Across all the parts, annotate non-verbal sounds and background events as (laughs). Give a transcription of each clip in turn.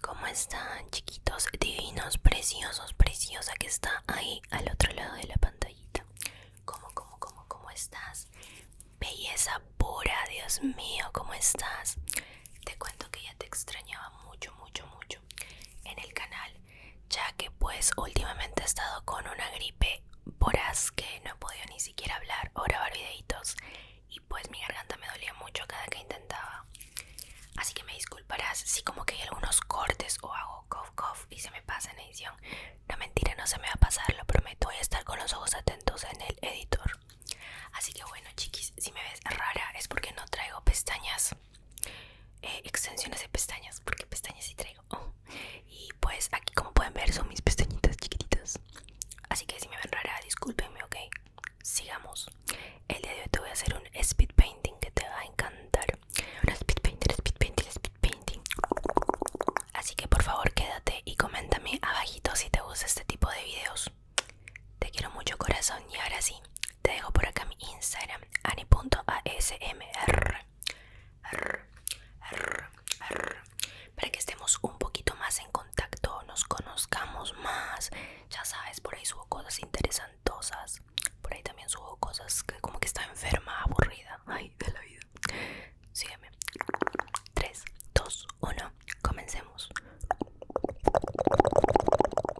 ¿Cómo están chiquitos, divinos, preciosos, preciosa que está ahí al otro lado de la pantallita? ¿Cómo, cómo, cómo, cómo estás? Belleza pura, Dios mío, ¿cómo estás? Te cuento que ya te extrañaba mucho, mucho, mucho en el canal, ya que pues últimamente he estado con una gripe as que no he podido ni siquiera hablar o grabar videitos y pues mi garganta me dolía mucho cada que intentaba. Así que me disculparás si como que hay algunos cortes o hago cough cough y se me pasa en edición. No mentira, no se me va a pasar, lo prometo. Voy a estar con los ojos atentos en el editor. Así que bueno chiquis, si me ves rara es porque no traigo pestañas, eh, extensiones de pestañas, porque pestañas sí traigo. (laughs) Y pues aquí como pueden ver son mis pestañitas chiquititas. Así que si me ven rara, discúlpenme, ok. Sigamos. El día de hoy te voy a hacer un speed painting que te va a encantar. Un speed painting, speed painting, speed painting. Así que por favor quédate y coméntame abajito si te gusta este tipo de videos. Te quiero mucho corazón y ahora sí, te dejo por acá mi Instagram, ani.asmr para que estemos un poquito más en contacto, nos conozcamos más. Ya sabes, por ahí subo cosas interesantosas. Por ahí también subo cosas que como que está enferma, aburrida. Ay, de la vida. Sígueme. 3, 2, 1. Comencemos.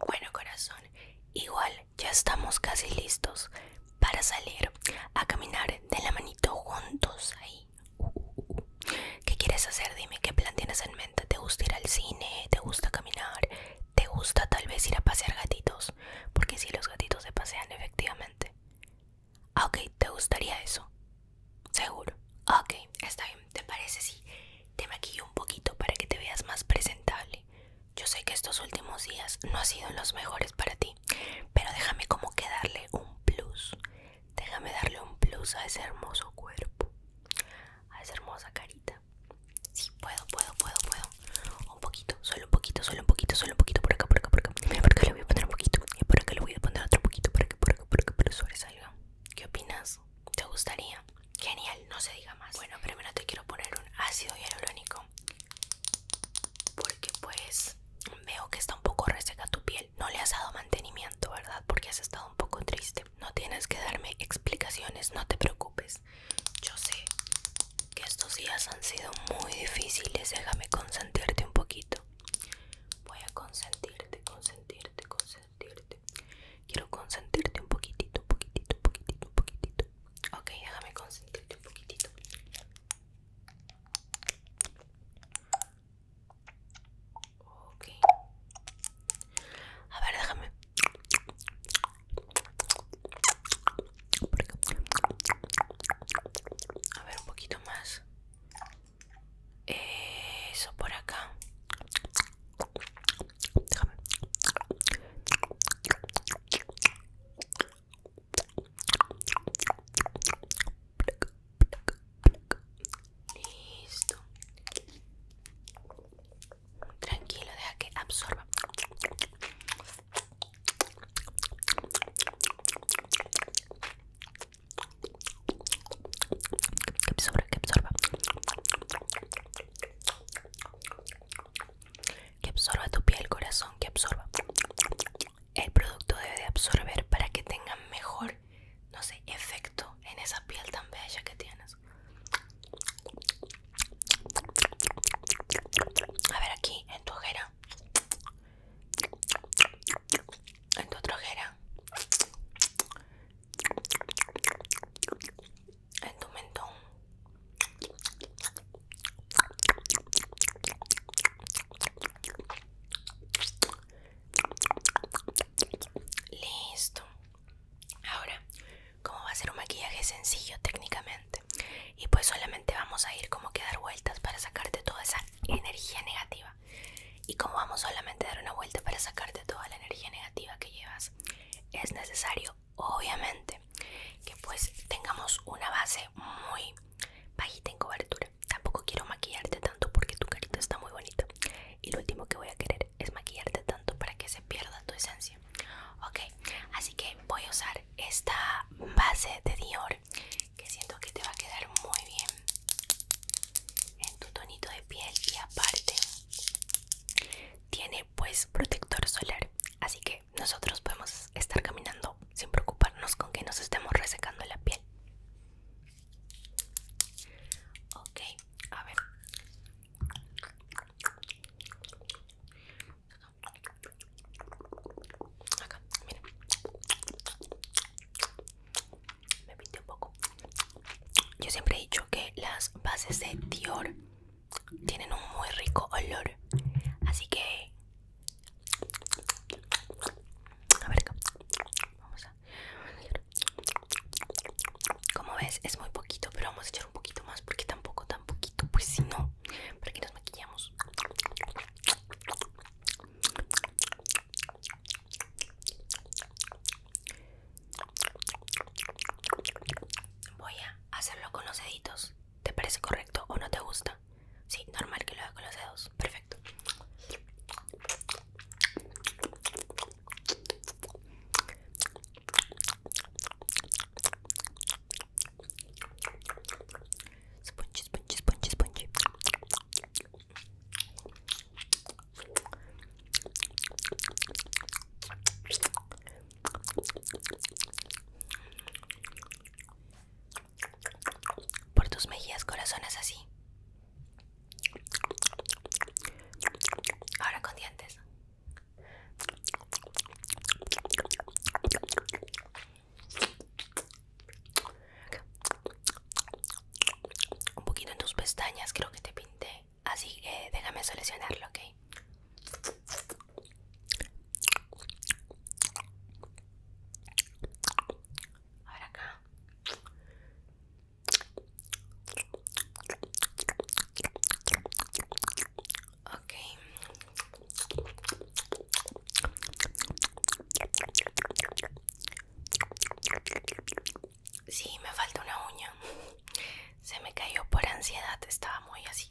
Bueno, corazón. Igual ya estamos casi listos para salir a caminar de la manito juntos ahí ¿Qué quieres hacer? Dime qué plan tienes en mente. ¿Te gusta ir al cine? ¿Te gusta caminar? ¿Te gusta tal vez ir a pasear gatitos? Porque si los gatitos se pasean efectivamente. Ah, ok, ¿te gustaría eso? Seguro. Ah, ok, está bien. ¿Te parece si te maquillo un poquito para que te veas más presentable? Yo sé que estos últimos días no han sido los mejores para ti. Pero déjame como que darle un plus. Déjame darle un plus a ese hermoso cuerpo. A esa hermosa carita. Sí, puedo, puedo, puedo, puedo. Un poquito, solo un poquito, solo un poquito, solo un poquito. Por acá, por acá, por acá. por le voy a poner un poquito. Y por acá le voy a poner otro poquito. Por acá, por acá, por acá. Pero salir? ¿Qué opinas? ¿Te gustaría? Genial, no se diga más. Bueno, primero te quiero poner un ácido hialurónico porque pues veo que está un poco reseca tu piel. No le has dado mantenimiento, ¿verdad? Porque has estado un poco triste. No tienes que darme explicaciones, no te preocupes. Yo sé que estos días han sido muy difíciles. Déjame consentirte un poquito. Voy a consentirte, consentirte, consentirte. Quiero consentirte un poquitito, un poquitito, un poquitito, un poquitito. Ok, déjame consentirte un poquitito. A ver, déjame. A ver, un poquito más. Eso por acá. Déjame. Listo. Tranquilo, deja que absorba. Que absorba, que absorba. tu piel, corazón, que absorba el producto debe de absorber para que tenga mejor, no sé, efecto en esa piel tan bella que tienes. A ver aquí, en tu ojera. En tu otra ojera. En tu mentón. Listo. Ahora, como va a ser un maquillaje sencillo técnicamente, y pues solamente vamos a ir como que dar vueltas para sacarte toda esa energía negativa. Y como vamos solamente a dar una vuelta para sacarte toda la energía negativa que llevas, es necesario, obviamente, que pues tengamos una base muy bajita en cobertura. Tampoco quiero maquillarte tanto porque tu carita está muy bonita. Y lo último que voy a querer es maquillarte tanto para que se pierda tu esencia. Ok, así que voy a usar esta base de Dior que siento que te va a quedar muy bien en tu tonito de piel y aparte tiene pues protector solar así que nosotros podemos estar caminando sin preocuparnos con que nos estemos resecando la piel. Ok, a ver. Acá, miren Me pinté un poco. Yo siempre he dicho que las bases de Dior tienen un muy rico olor. Así que... A ver, vamos a... Como ves, es muy poquito, pero vamos a echar un poquito más porque tampoco tan poquito, pues si no, para que nos maquillamos. Voy a hacerlo con los deditos. ¿Te parece correcto o no te gusta? Sí, normal que lo haga con los dedos. Perfecto. Por tus mejillas, corazones así. Ahora con dientes. Un poquito en tus pestañas, creo que te pinté. Así que déjame seleccionarlo, ¿ok? A ver acá. Ok. Sí, me falta una uña. Se me cayó por ansiedad, estaba muy así.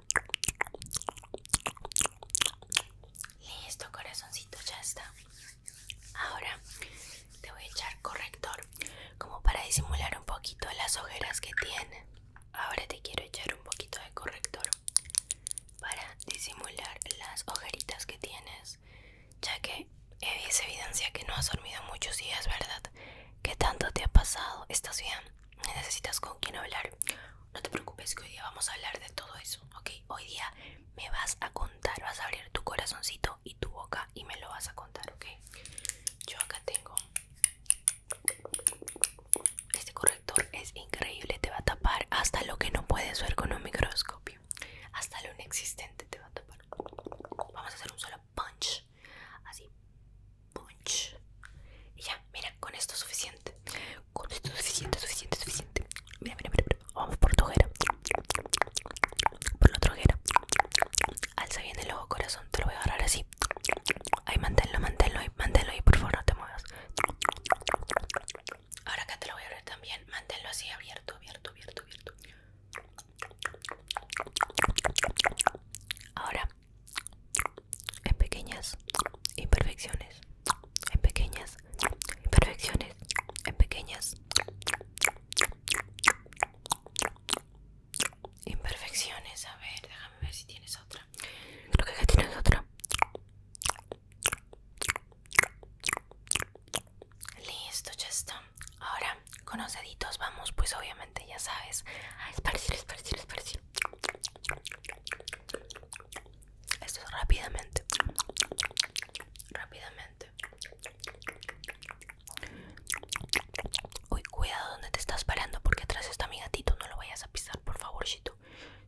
Listo, corazoncito, ya está. Ahora te voy a echar corrector como para disimular un poquito las ojeras que tienes Ahora te quiero echar un poquito de corrector para disimular las ojeritas que tienes, ya que es evidencia que no has dormido muchos días, ¿verdad? ¿Qué tanto te ha pasado? ¿Estás bien? necesitas con quién hablar, no te preocupes que hoy día vamos a hablar de todo eso, ¿ok? Hoy día me vas a contar, vas a abrir tu corazoncito y tu boca y me lo vas a contar, ¿ok? Yo acá tengo este corrector, es increíble, te va a tapar hasta lo que no puedes ver con un microscopio, hasta lo inexistente te va a tapar. Vamos a hacer un solo punch, así. Y ya, mira, con esto suficiente. Con esto suficiente, suficiente, suficiente. Mira, mira, mira. Vamos por tu ojera. Por la otra Alza bien el ojo, corazón. Te lo voy a agarrar así. Ahí, manténlo, manténlo ahí, manténlo ahí, por favor, no te muevas. Ahora acá te lo voy a abrir también. Manténlo así abierto, abierto, abierto, abierto. Ahora en pequeñas imperfecciones, en pequeñas imperfecciones, en pequeñas imperfecciones. A ver, déjame ver si tienes otra. Creo que ya tienes otra. Listo, ya está. Ahora, con los deditos vamos pues obviamente ya sabes a esparcir, esparcir, esparcir esto es rápidamente rápidamente uy cuidado donde te estás parando porque atrás está mi gatito no lo vayas a pisar por favor favor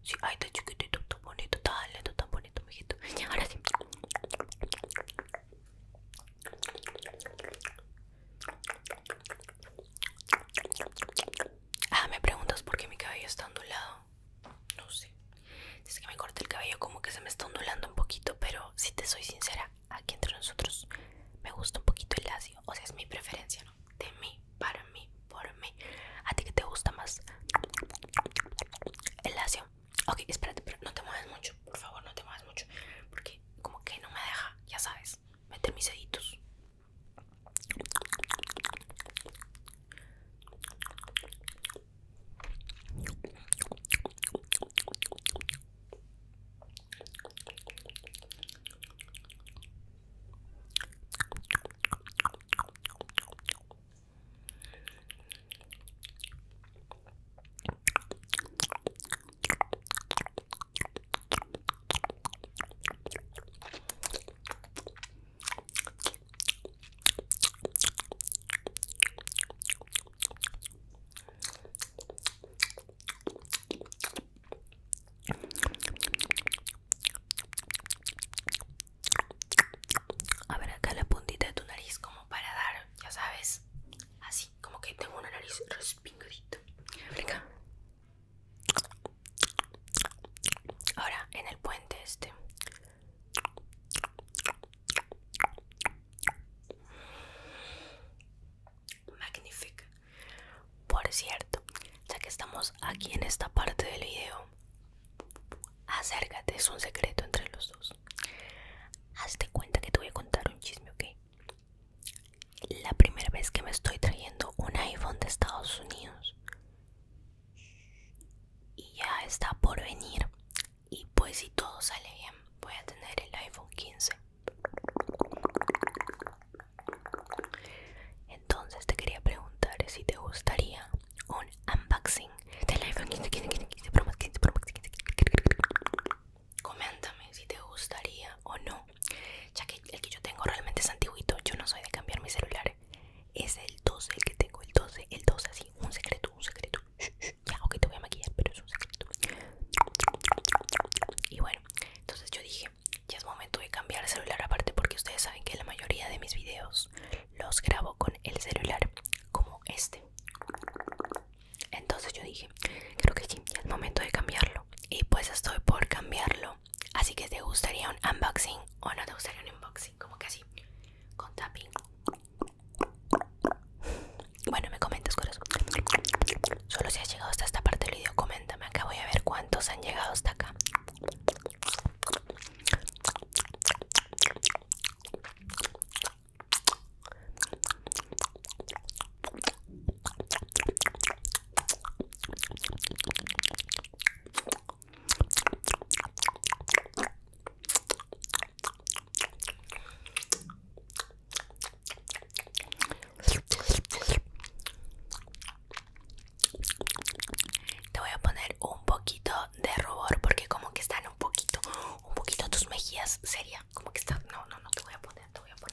sí ay está chiquitito tan bonito tan lento tan bonito mijito ahora sí Ah, me preguntas por qué mi cabello está ondulado. No sé. Dice que me corté el cabello como que se me está ondulando un poquito, pero si te soy sincera, aquí entre nosotros me gusta un poquito el lacio. O sea, es mi preferencia, ¿no? De mí, para mí, por mí. ¿A ti qué te gusta más? El lacio. Ok, espérate, pero no te mueves mucho, por favor, no te mueves mucho. Porque como que no me deja, ya sabes. Mete mis deditos. A ver acá la puntita de tu nariz como para dar, ya sabes, así como que tengo una nariz pingudito. Venga Ahora en el puente este. Magnífica. Por cierto, ya que estamos aquí en esta parte del video, acércate, es un secreto entre los dos. Hazte cuenta que te voy a contar un chisme, ¿ok? la primera vez que me estoy trayendo un iPhone de Estados Unidos y ya está por venir y pues si todo sale bien voy a tener el iPhone 15 entonces te quería preguntar si te gustaría un unboxing del iPhone 15, coméntame si te gustaría o no ya que el que yo tengo realmente es antiguito yo no soy de cambiar mi celular es el 12 el que tengo el 12 el 12 así un secreto un secreto ya ok te voy a maquillar pero es un secreto y bueno entonces yo dije ya es momento de cambiar el celular aparte porque ustedes saben que la mayoría de mis videos los grabo con el celular como este entonces yo dije, creo que sí, es momento de cambiarlo. Y pues estoy por cambiarlo. Así que te gustaría un unboxing o no te gustaría un unboxing, como que así, con tapping. Bueno, me comentas, corazón. Solo si has llegado hasta esta parte del video, coméntame acá. Voy a ver cuántos han llegado hasta acá. Te voy a poner un poquito de rubor porque como que están un poquito, un poquito tus mejillas sería como que están. No, no, no te voy a poner, te voy a poner.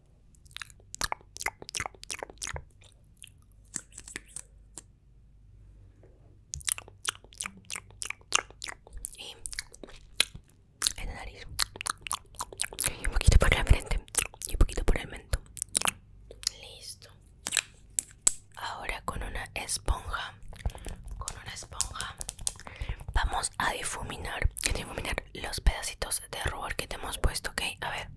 Y el nariz. Y un poquito por la frente. Y un poquito por el mento, Listo. Ahora con una esponja. Con una esponja. Vamos a difuminar, difuminar los pedacitos de rubor que te hemos puesto, ¿ok? A ver.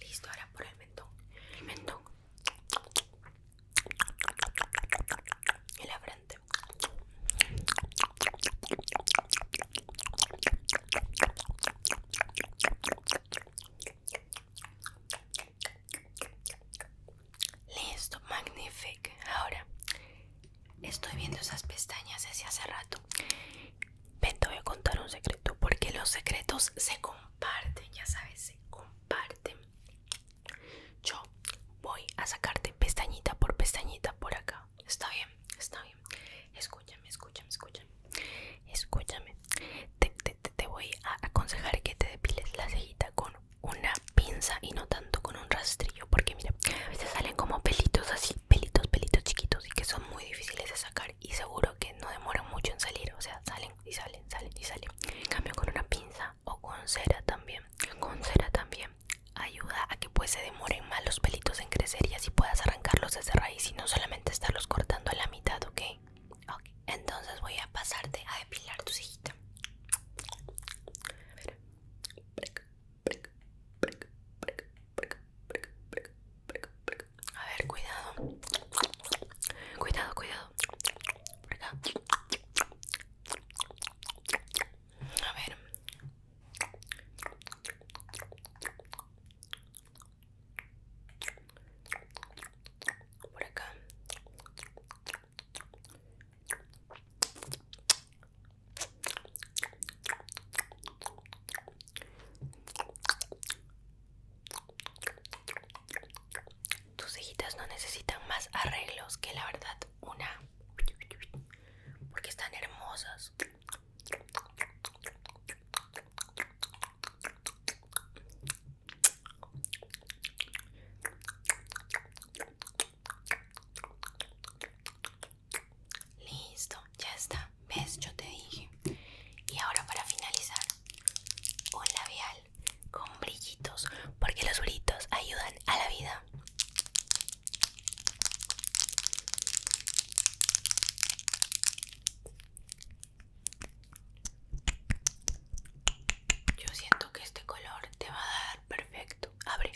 Listo, ahora por el mentón. El mentón. Y la frente listo magnífico ahora estoy viendo esas pestañas desde hace rato Ven, te voy a contar un secreto porque los secretos se compran comparten, ya sabes, comparten. Yo voy a sacarte pestañita por pestañita por acá. Está bien, está bien. Escúchame, escúchame, escúchame. Escúchame. Te, voy a aconsejar que te depiles la cejita con una pinza y no tanto con un rastrillo. Porque mira, a veces salen como pelitos así, pelitos, pelitos chiquitos y que son muy difíciles de sacar y seguro que no demoran mucho en salir. O sea, salen y salen, salen y salen. En cambio con una pinza o con cera también. Con cera también ayuda a que pues se demoren más los pelitos en crecer y así puedas arrancarlos desde raíz y no solamente estarlos cortando a la mitad, ¿ok? Ok, entonces voy a pasarte a depilar tu cejita. A ver, cuidado. Cuidado, cuidado. Por acá. A ver. Por acá. Tus cejitas no necesitan más arreglos que la verdad una, porque están hermosas. Listo, ya está ves yo te dije y ahora para finalizar un labial con brillitos porque los brillitos ayudan a la vida yo siento que este color te va a dar perfecto abre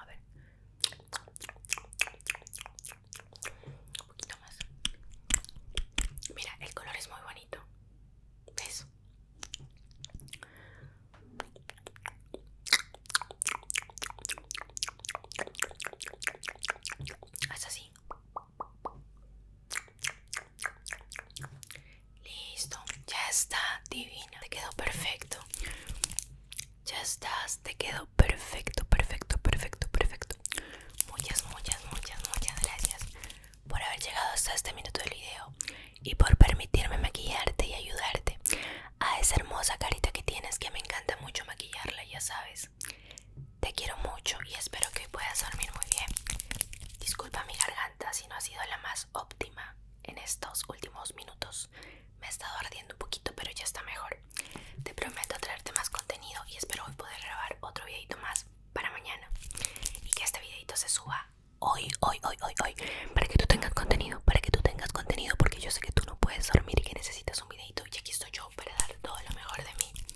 a ver. Un poquito más. Mira, el color es muy bonito. ¿Ves? Es así. Listo, ya está divino. Te quedó perfecto. Ya estás, te quedó perfecto, perfecto, perfecto, perfecto. Muchas, muchas, muchas, muchas gracias por haber llegado hasta este minuto del video y por permitirme maquillarte y ayudarte a esa hermosa carita que tienes que me encanta mucho maquillarla, ya sabes. Te quiero mucho y espero que puedas dormir muy bien. Disculpa mi garganta si no ha sido la más óptima en estos últimos minutos. Me ha estado ardiendo un poquito, pero ya está mejor. Te prometo traerte más contenido y espero poder grabar otro videito más para mañana. Y que este videito se suba hoy, hoy, hoy, hoy, hoy. Para que tú tengas contenido, para que tú tengas contenido, porque yo sé que tú no puedes dormir y que necesitas un videito. Y aquí estoy yo para dar todo lo mejor de mí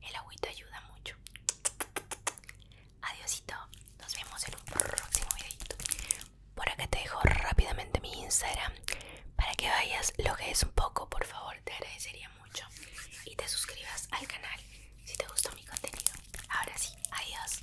el agüito ayuda mucho. Adiosito. Nos vemos en un próximo videito. Por acá te dejo rápidamente mi Instagram. Para que vayas, lo que es un poco, por favor. Te agradecería mucho. Y te suscribas al canal si te gustó mi contenido. Ahora sí, adiós.